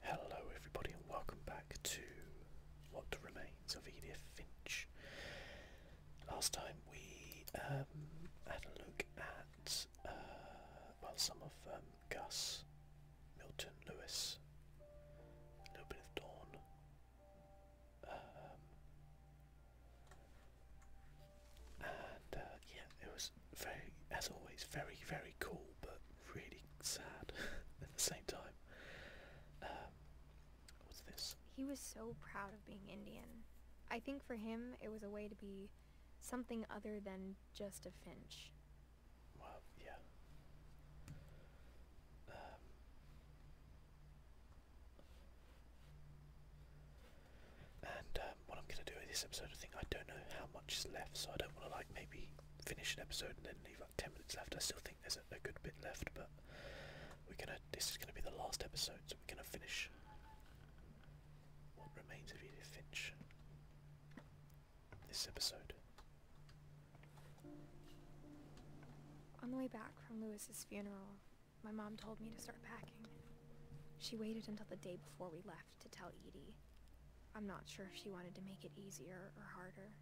Hello, everybody, and welcome back to What Remains of Edith Finch. Last time we um, had a look at uh, well, some of um, Gus, Milton, Lewis, a little bit of Dawn, um, and uh, yeah, it was very, as always, very, very cool, but really sad at the same time. Um, what's this? He was so proud of being Indian. I think for him, it was a way to be something other than just a finch. Well, yeah. Um, and uh, what I'm going to do with this episode, of thing? I don't know how much is left, so I don't want to like maybe finish an episode and then leave like 10 minutes left. I still think there's a, good bit left, but we're gonna. This is going to be the last episode, so we're going to finish what remains of Edith Finch this episode. On the way back from Lewis's funeral, my mom told me to start packing. She waited until the day before we left to tell Edie. I'm not sure if she wanted to make it easier or harder.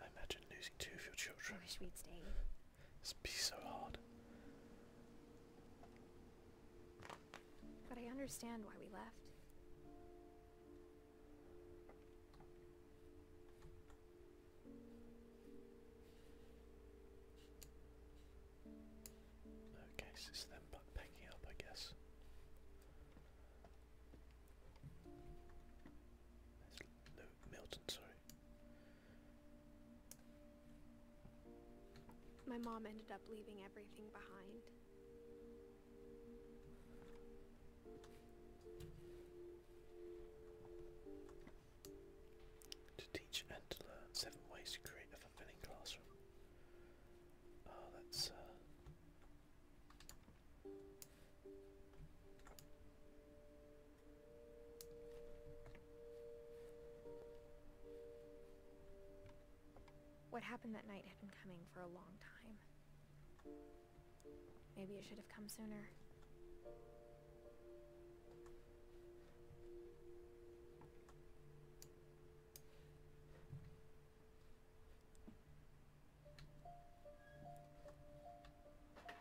I imagine losing two of your children. would be so hard. But I understand why we left. Okay, so it's them packing up, I guess. No, Milton, sorry. My mom ended up leaving everything behind. To teach and to learn seven ways to create a fulfilling classroom. Oh, that's uh, what happened that night had been coming for a long time. Maybe it should have come sooner.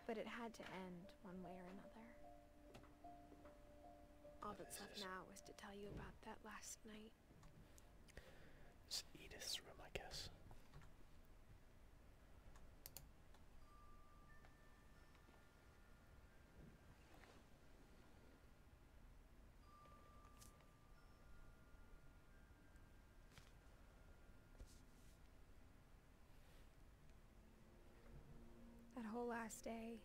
But it had to end one way or another. All that's left now is to tell you about that last night. It's Edith's room, I guess. That whole last day,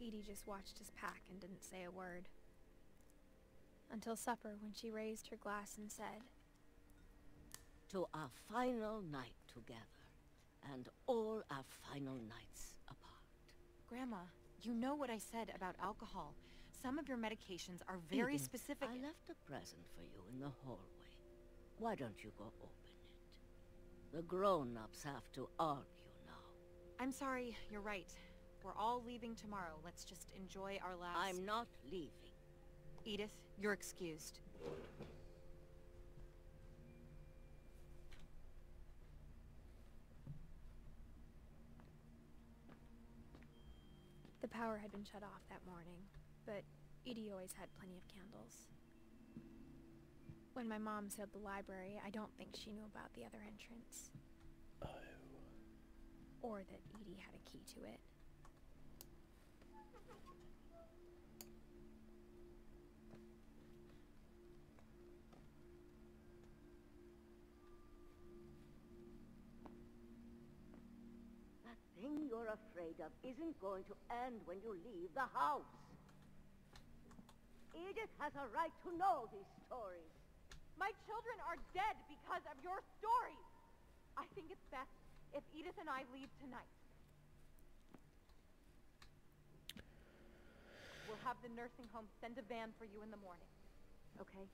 Edie just watched his pack and didn't say a word until supper when she raised her glass and said, To our final night together, and all our final nights apart. Grandma, you know what I said about alcohol. Some of your medications are very specific- I left a present for you in the hallway. Why don't you go open it? The grown-ups have to argue now. I'm sorry, you're right. We're all leaving tomorrow. Let's just enjoy our last... I'm not leaving. Edith, you're excused. The power had been shut off that morning, but Edie always had plenty of candles. When my mom sealed the library, I don't think she knew about the other entrance. Oh. Or that Edie had a key to it. That thing you're afraid of isn't going to end when you leave the house. Edith has a right to know these stories. My children are dead because of your stories. I think it's best if Edith and I leave tonight. We'll have the nursing home send a van for you in the morning. Okay?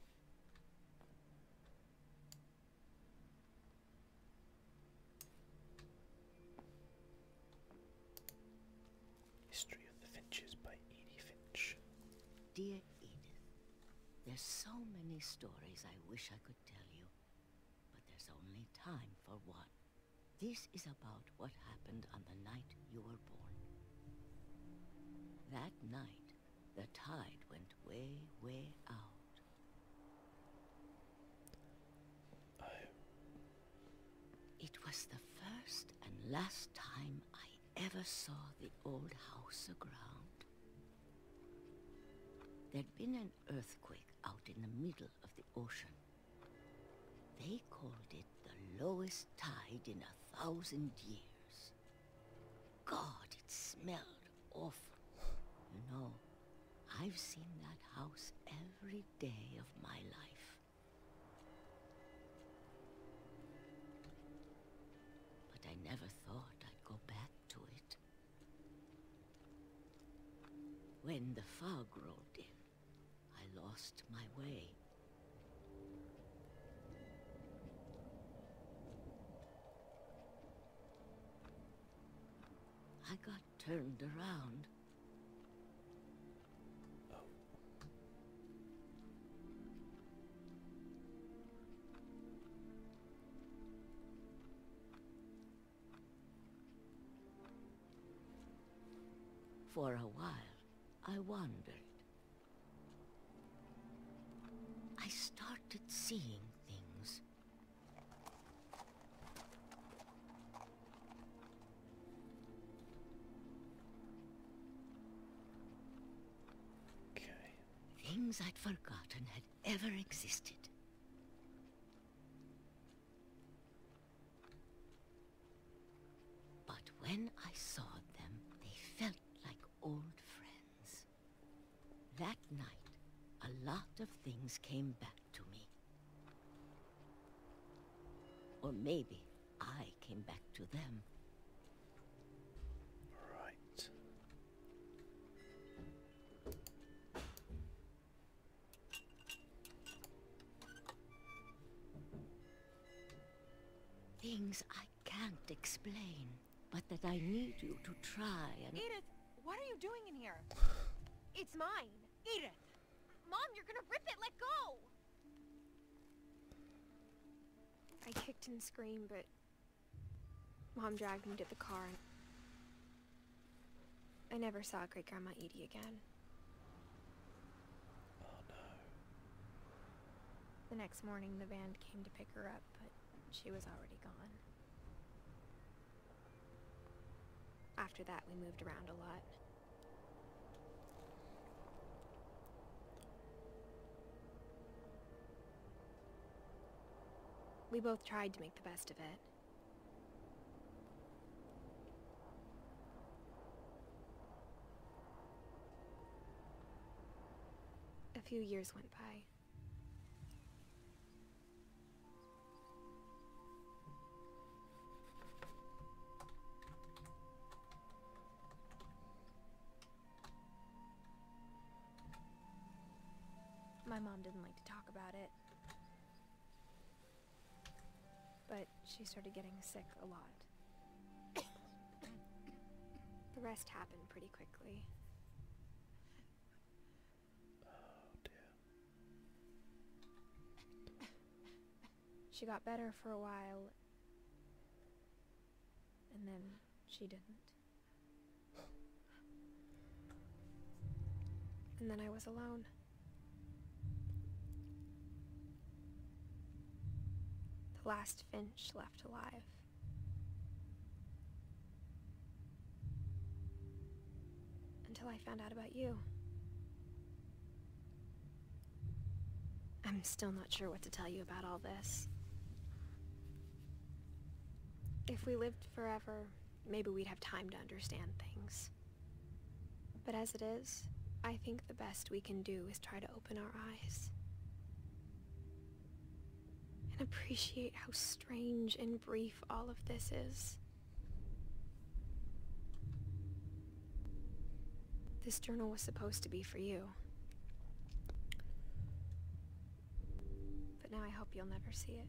History of the Finches by Edie Finch. Dear Edith, there's so many stories I wish I could tell you, but there's only time for one. This is about what happened on the night you were born. That night, the tide went way, way out. I... Oh. It was the first and last time I ever saw the old house aground? There'd been an earthquake out in the middle of the ocean. They called it the lowest tide in a thousand years. God, it smelled awful. You know, I've seen that house every day of my life. But I never thought I'd go back to it. When the fog rolled in, I lost my way. I got turned around. For a while, I wandered. I started seeing things. Things I'd forgotten had ever existed. But when I saw them, they felt like old friends. That night, a lot of things came back to me. Or maybe I came back to them. Right. Things I can't explain, but that I need you to try Edith, what are you doing in here? it's mine. Eat it! Mom, you're gonna rip it! Let go! I kicked and screamed, but... Mom dragged me to the car I never saw Great-Grandma Edie again. Oh, no. The next morning, the band came to pick her up, but she was already gone. After that, we moved around a lot. We both tried to make the best of it. A few years went by. My mom didn't like to talk about it. But she started getting sick a lot. the rest happened pretty quickly. Oh, she got better for a while, and then she didn't. And then I was alone. The last finch left alive. Until I found out about you. I'm still not sure what to tell you about all this. If we lived forever, maybe we'd have time to understand things. But as it is, I think the best we can do is try to open our eyes. And appreciate how strange and brief all of this is. This journal was supposed to be for you. But now I hope you'll never see it.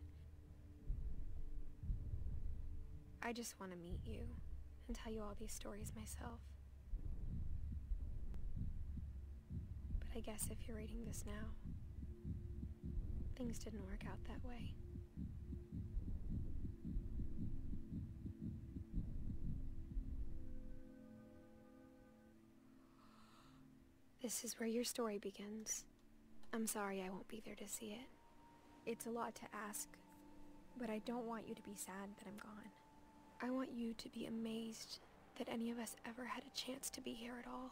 I just want to meet you and tell you all these stories myself. But I guess if you're reading this now, Things didn't work out that way. This is where your story begins. I'm sorry I won't be there to see it. It's a lot to ask, but I don't want you to be sad that I'm gone. I want you to be amazed that any of us ever had a chance to be here at all.